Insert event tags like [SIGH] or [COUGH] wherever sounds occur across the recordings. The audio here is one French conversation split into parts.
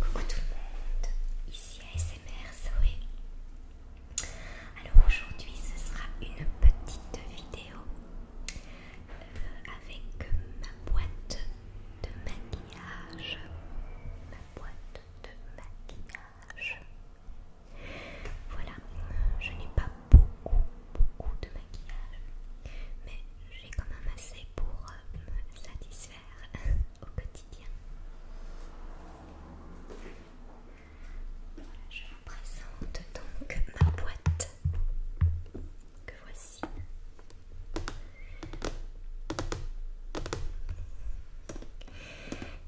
Coucou tout le monde, ici ASMR Zoé. Alors aujourd'hui ce sera une petite vidéo euh, avec ma boîte de maquillage. Ma boîte de maquillage. Voilà, je n'ai pas beaucoup beaucoup de mais j'ai quand même assez pour euh, me satisfaire [LAUGHS] au quotidien. je vous présente donc ma boîte que voici.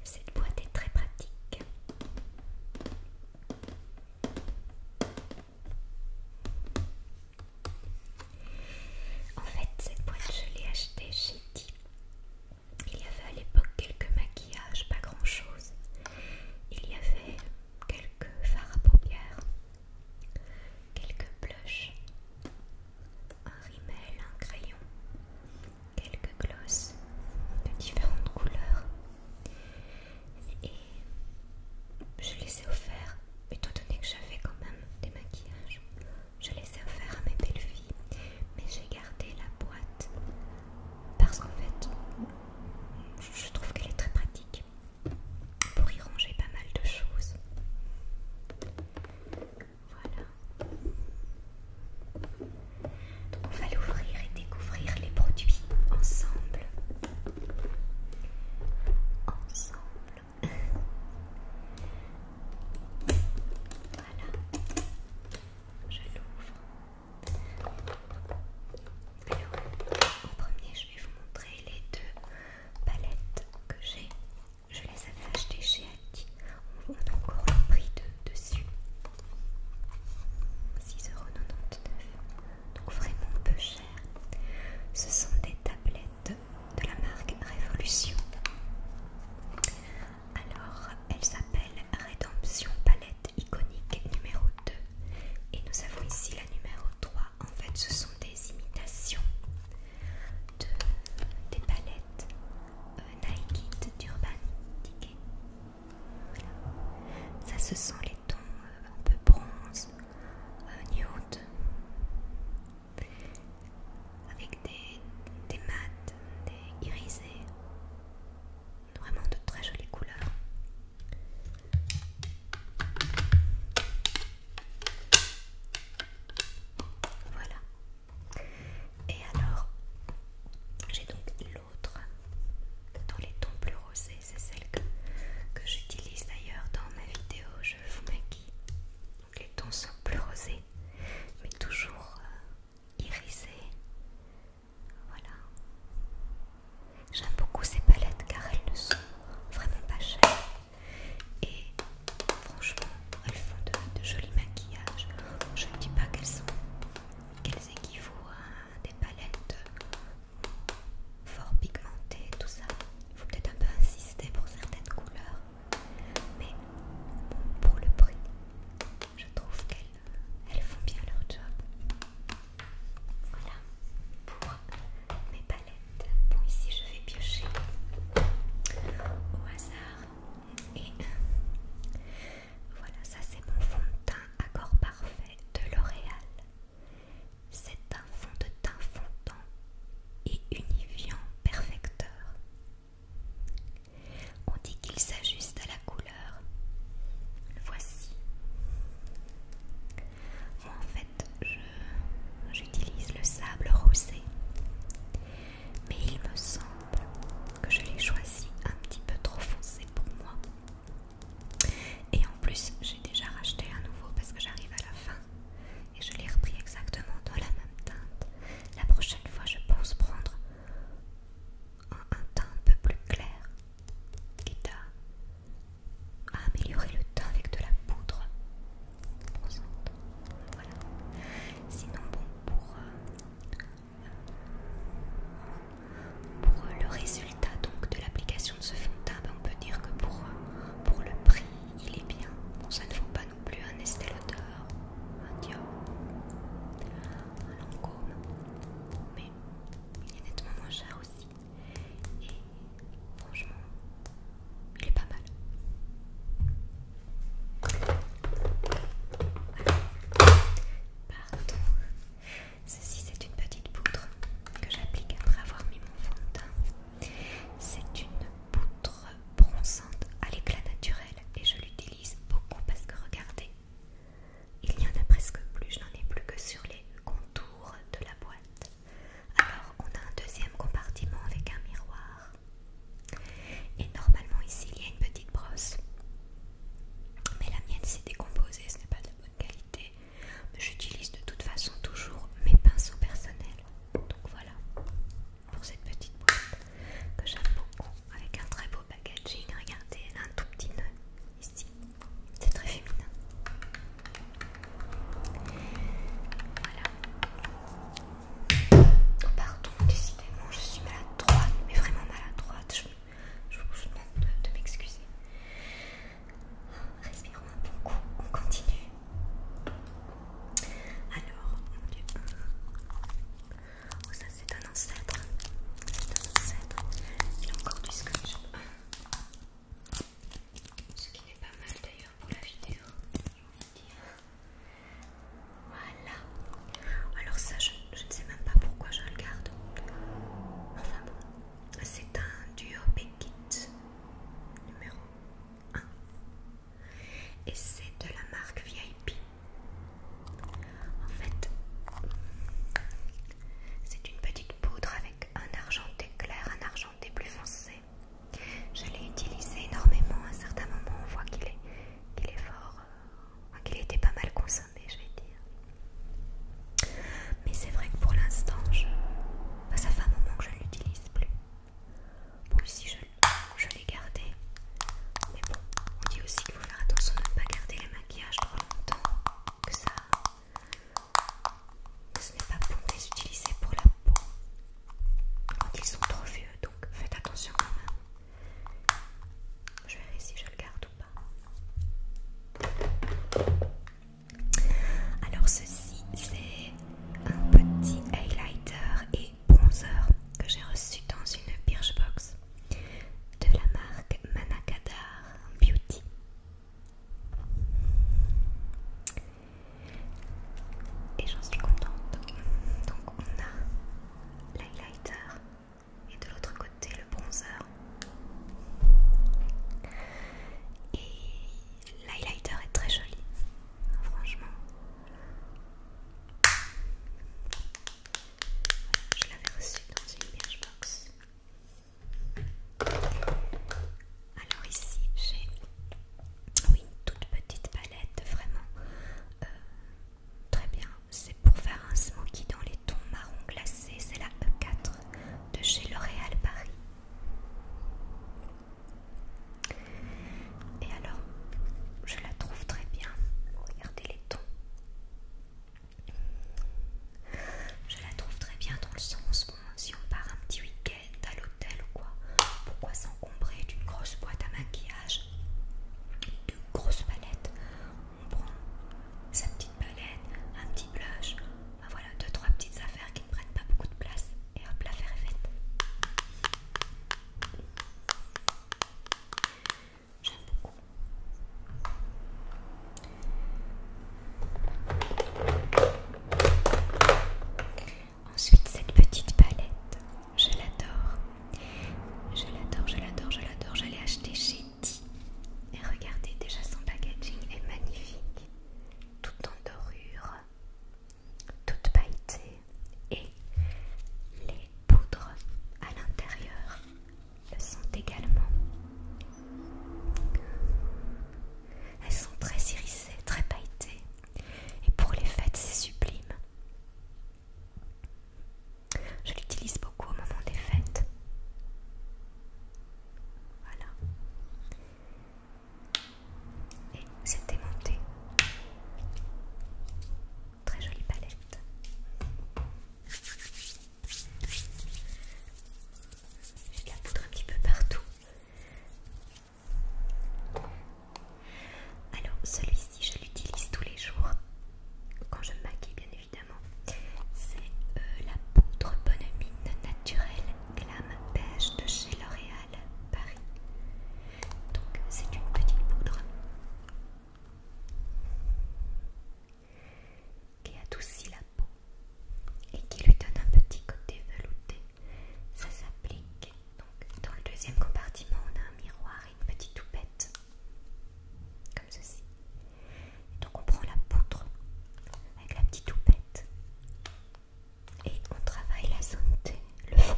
Cette boîte est très pratique. En fait, cette boîte, je l'ai achetée chez D. Il y avait à l'époque quelques maquillages, pas grand chose. Il y avait quelques fards à paupières, quelques blushs, un rimel, un crayon, quelques glosses de différentes couleurs. Et je les ai offerts, étant donné que j'avais quand même des maquillages, je les ai offerts à mes belles filles, mais j'ai gardé la boîte parce qu'en fait, je trouve qu'elle est très pratique pour y ranger pas mal de choses. Voilà. Donc on va l'ouvrir et découvrir les produits ensemble. Ensemble voilà. Je l'ouvre. Alors, en premier, je vais vous montrer les deux palettes que j'ai. Je les avais achetées chez Adi. On a encore le prix dessus. 6,99€. Donc vraiment peu cher. Ce sont des tablettes de la marque Révolution. Alors, elles s'appellent Rédemption Palette Iconique numéro 2. Et nous avons ici la numéro 3. En fait, ce sont des imitations de, des palettes euh, Nike d'Urban Ça, ce sont les tons euh, un peu bronze, nude, avec des, des des irisés, vraiment de très jolies couleurs. Voilà. Et alors, j'ai donc l'autre dans les tons plus rosés c'est celle que, j'utilise d'ailleurs dans ma vidéo Je vous maquille. Donc les tons sont plus rosés, mais toujours euh, irisés. Voilà. J'aime beaucoup ces palettes car elles ne sont vraiment pas chères. Et franchement, elles font de, jolis maquillages. Je ne dis pas qu'elles sont qu'elles équivaut à des palettes fort pigmenté, tout ça. Il faut peut-être un peu insister pour certaines couleurs, mais bon, pour le prix, je trouve qu'elles font bien leur job. Voilà pour mes palettes. Bon, ici je vais piocher au hasard. Et voilà, ça c'est mon fond de teint accord parfait de L'Oréal. C'est un fond de teint fondant et unifiant perfecteur. On dit qu'il s'ajuste à la couleur. Voici. Moi en fait, j'utilise le sable rosé. Mais il me semble que je l'ai choisi un petit peu trop foncé pour moi. Et en plus, j'ai déjà racheté un nouveau parce que j'arrive à la fin. Et je l'ai repris exactement dans la même teinte. La prochaine fois, je pense prendre un, teint un peu plus clair, quitte à, améliorer le teint avec de la poudre. Voilà. Sinon, bon, pour, euh, le résultat résultat donc de l'application de ce fond de teint, ben, on peut dire que euh, pour, le prix, il est bien. Bon, ça ne vaut pas non plus un Estée Lauder, un Dior, un Lancôme, mais il est nettement moins cher aussi. Et franchement, il est pas mal. Pardon, Ceci, c'est une petite poutre que j'applique après avoir mis mon fond de teint. C'est une poutre bronzante à l'éclat naturel et je l'utilise beaucoup parce que regardez, il n'y en a presque plus, je n'en ai plus que sur les contours de la boîte. Alors, on a un deuxième compartiment avec un miroir. Et normalement ici il y a une petite brosse, mais la mienne s'est décomposée, ce n'est pas de bonne qualité. J'utilise de toute façon toujours mes pinceaux personnels. Donc voilà pour cette petite boîte que j'aime beaucoup avec un très beau packaging. Regardez, elle a un tout petit nœud ici. C'est très féminin. Voilà. Oh pardon, décidément, je suis maladroite, mais vraiment maladroite. Je, vous demande de m'excuser. Respirons un bon on continue. Alors, oh, ça c'est un ancêtre. C'est un ancêtre. Il a encore du scotch. Ce qui n'est pas mal d'ailleurs pour la vidéo, Voilà. Alors ça, je, je ne sais même pas pourquoi je le garde. Enfin bon, c'est un duo pekit numéro 1 et c'est de la marque VIP. En fait, c'est une petite poudre avec un argenté clair, un argenté plus foncé. Je l'ai utilisé énormément. À un certain moment, on voit qu'il est, qu'il est fort, euh, qu'il était pas mal consommé, je vais dire. Mais c'est vrai que pour l'instant, je... ça fait un moment que je ne l'utilise plus. Bon, si je, je l'ai gardé. Mais bon, on dit aussi qu'il faut faire attention de ne pas garder les maquillages trop longtemps. Que ça... ce n'est pas bon de les utiliser pour la peau. Quand ils sont trop vieux, donc faites attention quand même. Je verrai si je le garde ou pas. Alors ceci c'est un petit highlighter et bronzer que j'ai reçu dans une Birchbox de la marque Manakadar Beauty. Et j'en suis contente. Donc on a l'highlighter et de l'autre côté le bronzer et l'highlighter est très joli, franchement. Je l'avais reçu dans une box. Alors ici j'ai oui, une toute petite palette, vraiment euh, très bien. C'est pour faire un smoky dans les tons marron glacé, c'est la E4 de chez L'Oréal Paris. Et alors, je la trouve très bien. Regardez les tons. Je la trouve très bien dans le sens, si on part un petit week-end à l'hôtel ou quoi, pourquoi s'encombrer d'une grosse boîte à maquillage, d'une grosse palette On prend sa palette, un petit blush, voilà, deux trois petites affaires qui ne prennent pas beaucoup de place et hop l'affaire est faite. J'aime beaucoup. Ensuite cette petite palette, je l'adore. Je l'adore, je l'adore, je l'adore. J'allais acheter chez et regardez déjà son packaging est magnifique. Tout en dorure, toute pailletée et les poudres à l'intérieur le sont également. Elles sont très irisées, très pailletées et pour les fêtes c'est sublime. Je l'utilise beaucoup au moment des fêtes. Voilà. Et c'est démonté. Très jolie palette. J'ai de la poudre un petit peu partout. Alors celui-ci, je l'utilise tous les jours quand je me maquille, bien évidemment. C'est euh, la poudre bonne mine naturelle Glam Beige de chez L'Oréal Paris. Donc c'est une petite poudre qui adoucit la peau et qui lui donne un petit côté velouté. Ça s'applique. Donc dans le deuxième compartiment, on a un miroir et une petite toupette ceci. donc on prend la poutre avec la petite toupette et on travaille la T, le front,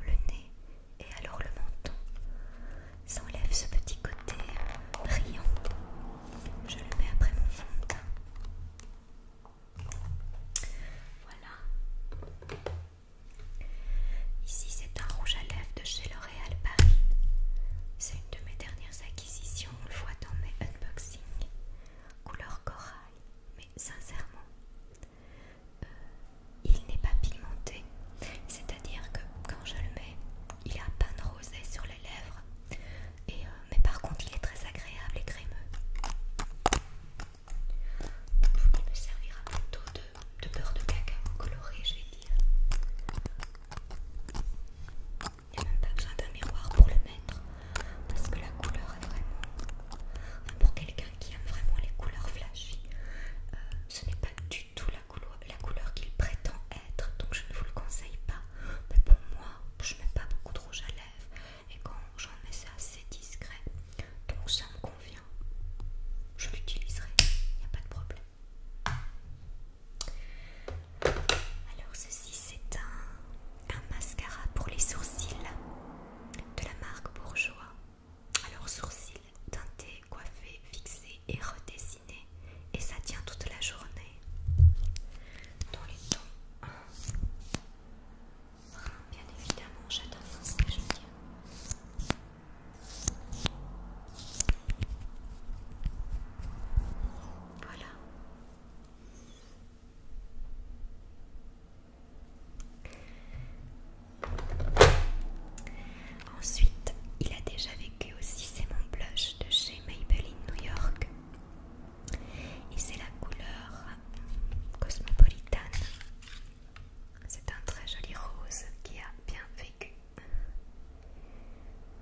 le nez et alors le menton. Ça enlève ce petit côté brillant. Je le mets après mon fond de teint. Voilà. Ici c'est un rouge à lèvres de chez L'Oréal Paris. C'est une de mes dernières acquisitions, on le voit dans mes unboxings, couleur corail, mais sincèrement, euh, il n'est pas pigmenté, c'est-à-dire que quand je le mets, il a un pain de rosé sur les lèvres, et, euh, mais par contre il est très agréable et crémeux. Il me servira plutôt de, de beurre de cacao coloré, je vais dire. Il n'y a même pas besoin d'un miroir pour le mettre parce que la couleur est vraiment. Pour quelqu'un qui aime vraiment les couleurs flashy, euh, ce n'est pas du tout la couleur, qu'il prétend être donc je ne vous le conseille pas. Mais pour moi, je mets pas beaucoup de rouge à lèvres et quand j'en mets, c'est assez discret donc ça me convient. Je l'utiliserai, il n'y a pas de problème. Alors ceci c'est un, un mascara pour les sourcils de la marque Bourgeois. Alors sourcils teintés, coiffés, fixés et redessinés. Et ça tient toute la journée. Dans les tons Bien évidemment, j'adore ce que je veux voilà. Ensuite, il a déjà vécu aussi, c'est mon blush de chez Maybelline New York. Et c'est la couleur cosmopolitane. C'est un très joli rose qui a bien vécu.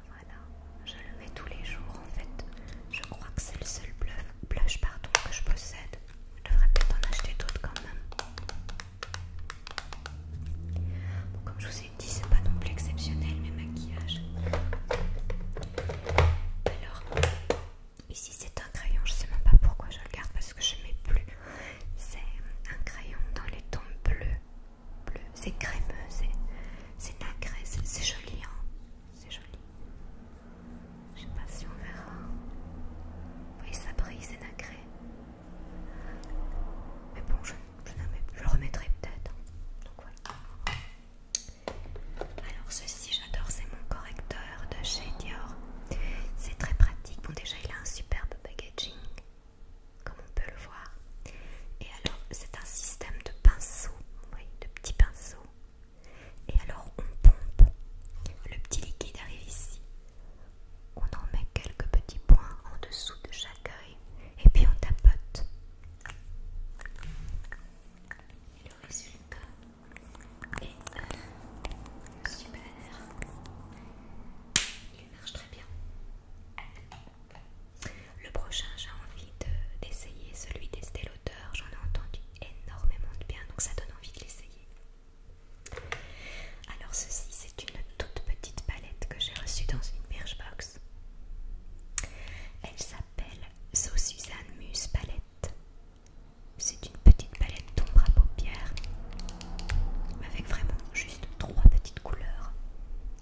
Voilà, je le mets tous les jours en fait. Je crois que c'est le seul blush, que je possède. Je devrais peut-être en acheter d'autres quand même. comme je vous ai dit, c'est pas non plus exceptionnel mes maquillages. Alors, ici c'est un crayon, je sais même pas pourquoi je le garde parce que je ne mets plus. C'est un crayon dans les tons bleus bleu, c'est crémeux, c'est nacré, c'est joli, hein. c'est joli. Je sais pas si on verra. voyez ça brille, c'est nacré. Mais bon, je, le remettrai peut-être. Hein. Donc voilà. Alors ceci, j'adore, c'est mon correcteur de chez Dior. C'est très pratique. Bon déjà, il a un superbe packaging comme on peut le voir. Et alors, c'est un système de pinceaux, de petits pinceaux. Et alors, on pompe. Le petit liquide arrive ici. On en met quelques petits points en dessous de chaque œil. Et puis, on tapote. Et le résultat est super. Il marche très bien. Le prochain, j'ai envie d'essayer celui d'Estée l'auteur, J'en ai entendu énormément de bien, donc ça donne envie de l'essayer. Alors ceci, c'est une toute petite palette que j'ai reçue dans une Birchbox. Elle s'appelle So Suzanne Muse Palette. C'est une petite palette d'ombre à paupières avec vraiment juste trois petites couleurs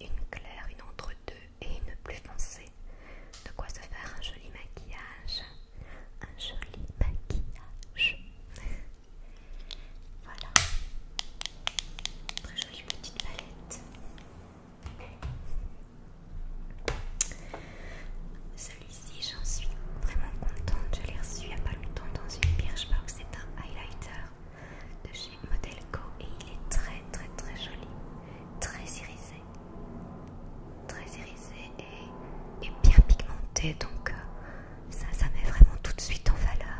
une claire, une entre deux et une plus foncée. De quoi se faire un joli maquillage. Un joli maquillage. [LAUGHS] voilà. Très jolie petite palette. Celui-ci, j'en suis vraiment contente. Je l'ai reçu il n'y a pas longtemps dans une que C'est un highlighter de chez Modelco et il est très très très joli, très irisé, très irisé et, bien pigmenté donc euh, ça, ça met vraiment tout de suite en valeur.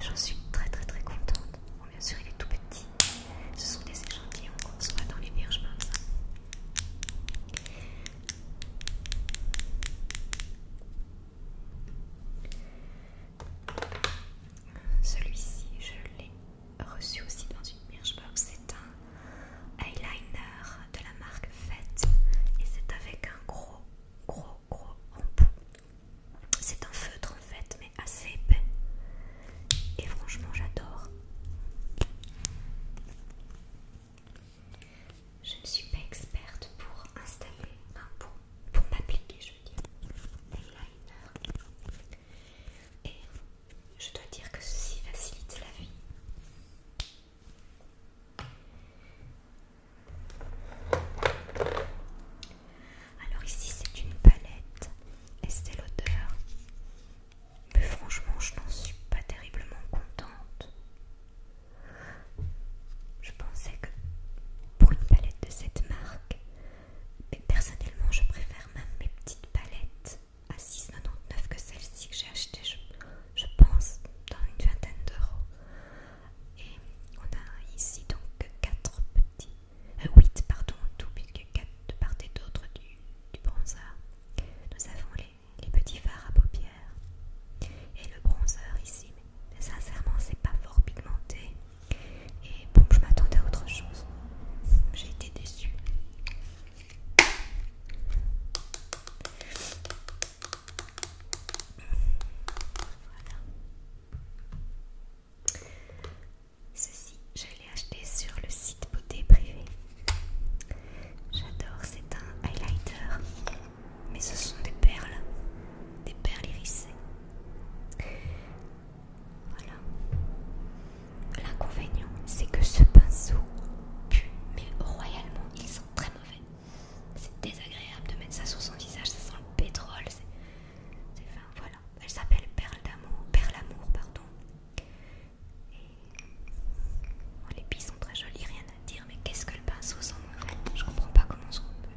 J'en suis très très très contente. Bon, bien sûr il est tout petit, ce sont des échantillons qu'on soit dans les vierges comme ça. Celui-ci, je l'ai reçu aussi dans une box. C'est un eyeliner de la marque Fête et c'est avec un gros, gros, gros embout. C'est un feutre en fait, mais assez épais. Et franchement, j'adore. Je ne suis pas experte pour installer, un pour m'appliquer, je veux dire, l'eyeliner. Et je dois dire que ceci facilite la vie. Alors ici c'est une palette Estée Lauder, mais franchement je n'en suis pas terriblement contente. Je pensais que pour une palette de cette marque, mais personnellement je préfère même mes petites palettes à 6,99 que celle-ci que j'ai acheté je, pense, dans une vingtaine d'euros. Et on a ici donc quatre petits, 8 euh, pardon tout, puisque 4 de part et d'autre du, bronzer. Nous avons les, les petits fards à paupières et le bronzer ici, mais sincèrement c'est pas fort pigmenté. Et bon, je m'attendais à autre chose. J'ai été déçue. Voilà. Ceci, je l'ai acheté sur le site beauté privée. J'adore, c'est un highlighter. Mais ce sont des perles des perles hérissées. Voilà. L'inconvénient, c'est que ce pinceau pue, mais royalement, il sent très mauvais. C'est désagréable de mettre ça sur son visage, ça sent le pétrole. C'est voilà. Elle s'appelle Perle d'amour, Perle amour, pardon. Oh, les billes sont très jolies, rien à dire, mais qu'est-ce que le pinceau sent mauvais Je comprends pas comment on peut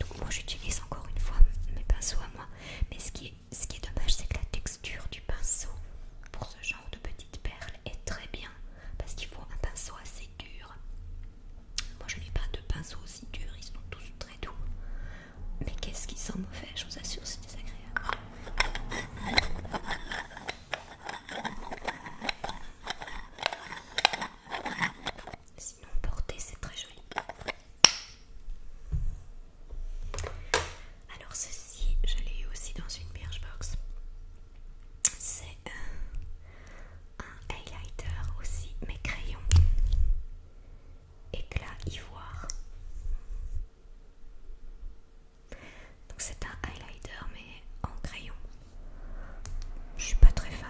donc moi j'utilise encore une fois mes pinceaux à moi. Mais ce qui est, ce qui est dommage c'est que la texture du pinceau pour ce genre de petites perles est très bien. Parce qu'il faut un pinceau assez dur. Moi je n'ai pas de pinceau aussi dur, ils sont tous très doux. Mais qu'est-ce qui sent mauvais, je vous assure c'est désagréable. Sinon, porté, c'est très joli. Alors, ceci, je l'ai eu aussi dans une Birchbox. C'est un, highlighter aussi, mais crayon. éclat ivoire. Donc, c'est un highlighter, mais en crayon. Je suis pas très fan.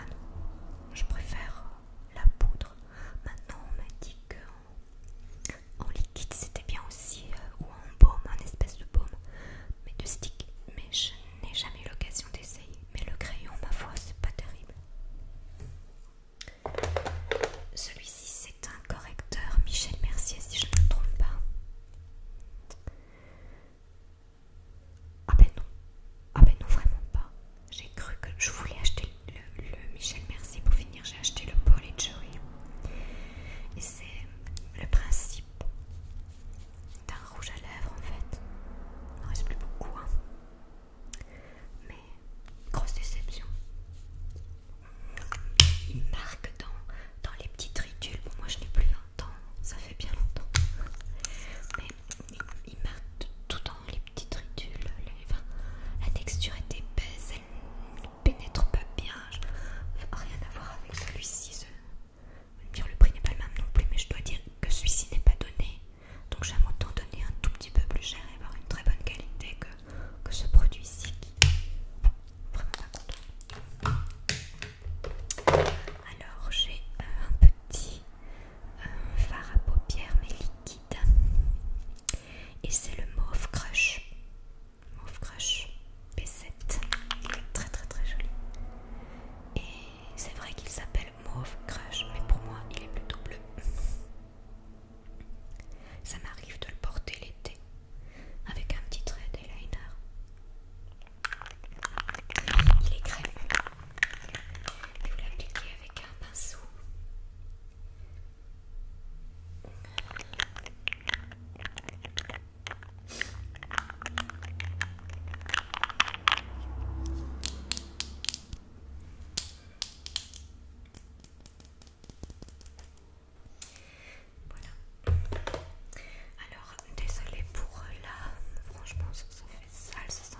Je préfère la poudre. Maintenant, on m'a dit que en, liquide c'était bien aussi, euh, ou en baume, un espèce de baume, mais de stick. Mais je n'ai jamais eu l'occasion d'essayer. Mais le crayon, ma foi, c'est pas terrible. Celui-ci, c'est un correcteur Michel Mercier, si je ne me trompe pas. Ah ben non, ah ben non, vraiment pas. J'ai cru que je voulais acheter le, Michel Merci pour finir, j'ai acheté le Paul et Joey. Et c'est le principe d'un rouge à lèvres en fait. Il n'en reste plus beaucoup, hein. Mais grosse déception. Il marque dans, dans les petites tritules moi je n'ai plus un. Hein ça fait bien longtemps. Mais il, marque tout temps les petites ridules. la texture est épaisse, elle ne pénètre pas bien. rien à voir avec celui-ci. le prix n'est pas le même non plus, mais je dois dire que celui-ci n'est pas donné. Donc j'aime autant donner un tout petit peu plus cher et avoir une très bonne qualité que, ce produit-ci vraiment pas alors j'ai euh, un petit euh, fard à paupières mais liquide et c'est le Mauve Crush. Mauve Crush B7. Il est très très très joli. Et c'est vrai qu'il s'appelle Mauve Crush mais pour moi il est plutôt bleu. Ça m'arrive de le porter l'été avec un petit trait d'eyeliner. Il est vous l'appliquez avec un pinceau. Voilà désolée pour euh, là, franchement, ça, fait sale sans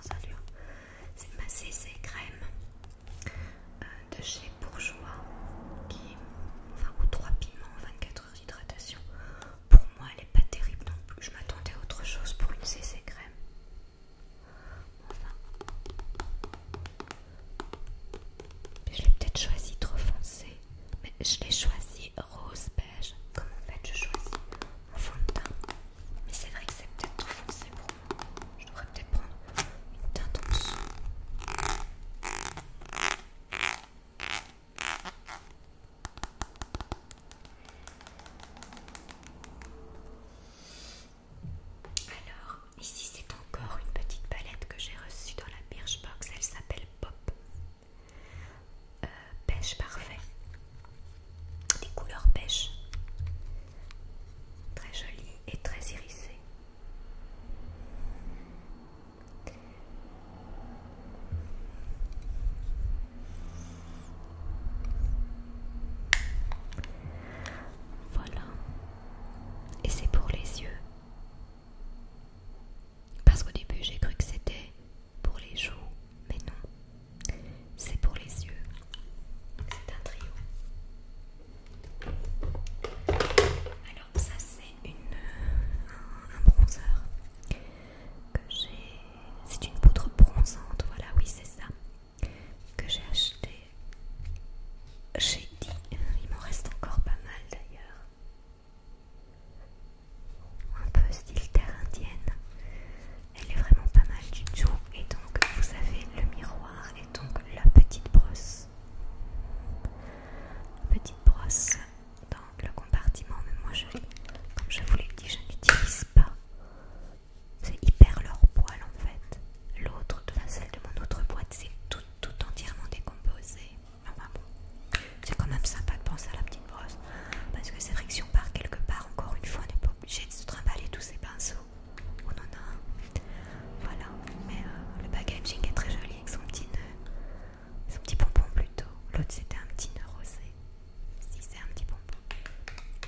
C'est ma CC crème euh, de chez Bourgeois, qui, enfin, ou 3 piments, 24 heures d'hydratation. Pour moi, elle est pas terrible non plus. Je m'attendais à autre chose pour une CC crème. Enfin, je l'ai peut-être choisi trop foncé, mais je l'ai choisi rose beige. Comme en fait, je choisis mon fond de teint. Mais c'est vrai que c'est peut-être trop foncé pour moi. Je devrais peut-être prendre une teinte en dessous. Alors, ici c'est encore une petite palette que j'ai reçue dans la Birchbox, elle s'appelle Pop. Euh, pêche parfait, des couleurs pêche, très jolie et très irisée. Voilà, et c'est pour les yeux. Parce qu'au début j'ai cru que c'était pour les joues, mais non, c'est pour les yeux. C'est un trio. Alors ça c'est une euh, un, que j'ai. C'est une poudre bronzante, voilà, oui c'est ça que j'ai acheté j'ai dit, Il m'en reste encore pas mal d'ailleurs un peu style terre indienne. Elle est vraiment pas mal du tout. Et donc vous avez le miroir et donc la petite brosse. Petite brosse dans le compartiment. Mais moi, je, comme je vous l'ai dit, je n'utilise pas. C'est hyper leur poil en fait. L'autre, enfin celle de mon autre boîte, c'est tout, entièrement décomposé ah, bah c'est quand même sympa de penser à la petite brosse. Parce que c'est vrai que si on part quelque part, encore une fois, on n'est pas obligé de se trimballer tous ces pinceaux. On en a un. Voilà, mais euh, le packaging est très joli avec son petit nœud. Son petit pompon plutôt. L'autre c'était un petit nœud rosé. Si c'est un petit pompon.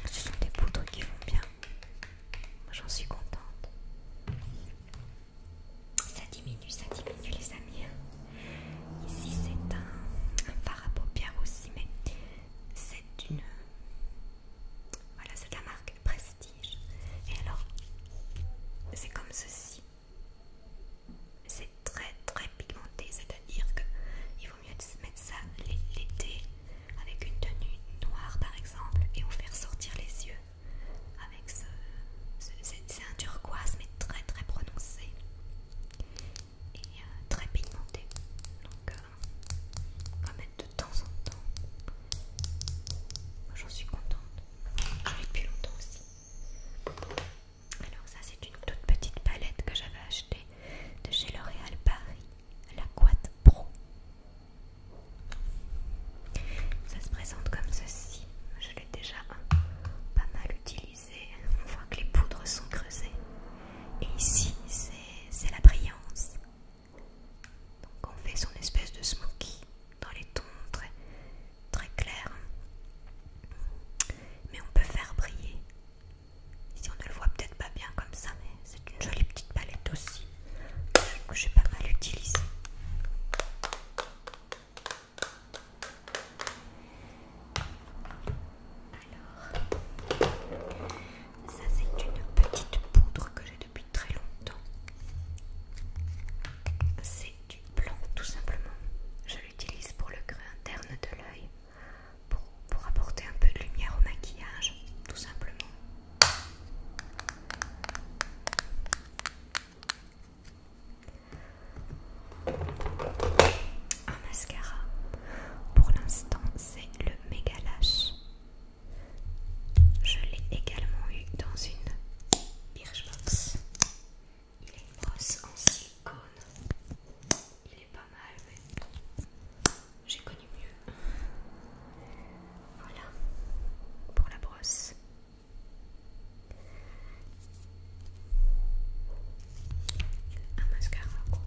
Ce sont des poudres qui vont bien. Moi J'en suis contente. Ça diminue, ça diminue les amis. Ici c'est un, phare à paupières aussi, mais c'est une... Voilà, c'est de la marque Prestige. Et alors, c'est comme ceci. C'est très très pigmenté, c'est-à-dire qu'il vaut mieux mettre ça l'été avec une tenue noire par exemple et vous faire sortir les yeux avec ce... C'est un turquoise mais très très prononcé et euh, très pigmenté. Donc, euh, va mettre de temps en temps. J'en suis contente. depuis longtemps aussi. Alors, ça, c'est une toute petite palette que j'avais achetée de chez L'Oréal Paris, la Quat Pro. Ça se présente comme ceci. Je l'ai déjà pas mal utilisé on voit que les poudres sont creusées. Et ici, c'est la brillance. Donc on fait son espèce de smoky dans les tons très, très clairs. Mais on peut faire briller. Ici on ne le voit peut-être pas bien comme ça, mais c'est une jolie petite palette aussi que j'ai pas mal utilisée. Alors, ça c'est une petite poudre que j'ai depuis très longtemps. C'est du blanc tout simplement. Je l'utilise pour le creux interne de l'œil, pour, apporter un peu de lumière au maquillage, tout simplement. Un mascara. Pour l'instant, c'est le Mega lash. Je l'ai également eu dans une Birchbox. Il est une brosse en silicone. Il est pas mal, mais j'ai connu mieux. Voilà pour la brosse un mascara quoi.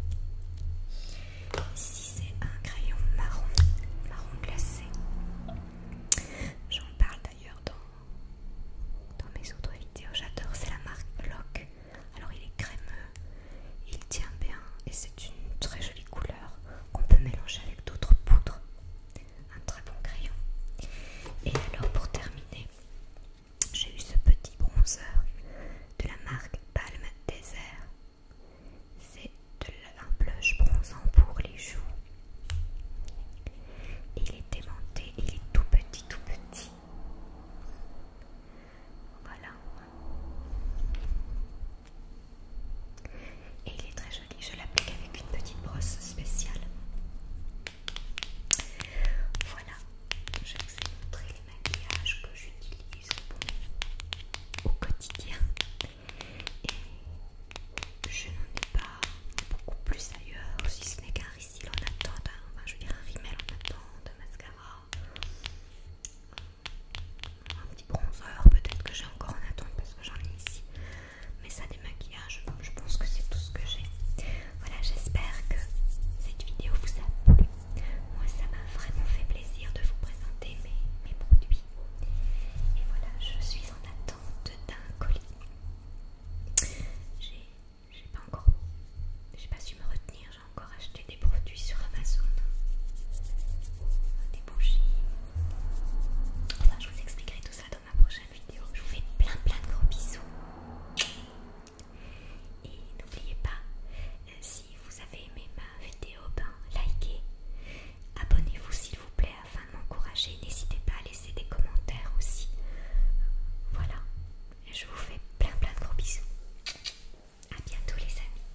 Ici c'est un crayon marron, marron glacé. J'en parle d'ailleurs dans, dans mes autres vidéos. J'adore, c'est la marque Lock. Alors il est crémeux, il tient bien et c'est une très jolie couleur qu'on peut mélanger avec d'autres poudres. Un très bon crayon. Et alors pour terminer, j'ai eu ce petit bronzer de la marque Palme Desert, C'est un blush bronzant pour les joues. Il est aimanté, il est tout petit, tout petit. Voilà. Et il est très joli, je l'applique avec une petite brosse spéciale. Voilà, je vous ai montré les maquillages que j'utilise au quotidien. Et je n'en ai pas beaucoup plus ailleurs, si ce n'est qu'un ici en attente, hein, enfin je veux dire un rimel en attente, un mascara, euh, un petit bronzer peut-être que j'ai encore en attente parce que j'en ai ici. Mais ça maquillage, Je pense que c'est tout ce que j'ai. Voilà, j'espère que cette vidéo vous a plu. Moi, ça m'a vraiment fait plaisir de vous présenter mes, produits. Et voilà, je suis en attente d'un colis. J'ai pas encore, j'ai pas su me retenir. J'ai encore acheté des produits sur Amazon, des bougies. Enfin, je vous expliquerai tout ça ma prochaine vidéo. Je vous fais plein plein de gros bisous. Et n'oubliez pas, euh, si vous avez aimé ma vidéo, ben likez. Abonnez-vous s'il vous plaît afin de m'encourager. N'hésitez pas à laisser des commentaires aussi. Voilà. Je vous fais plein plein de gros bisous. À bientôt les amis.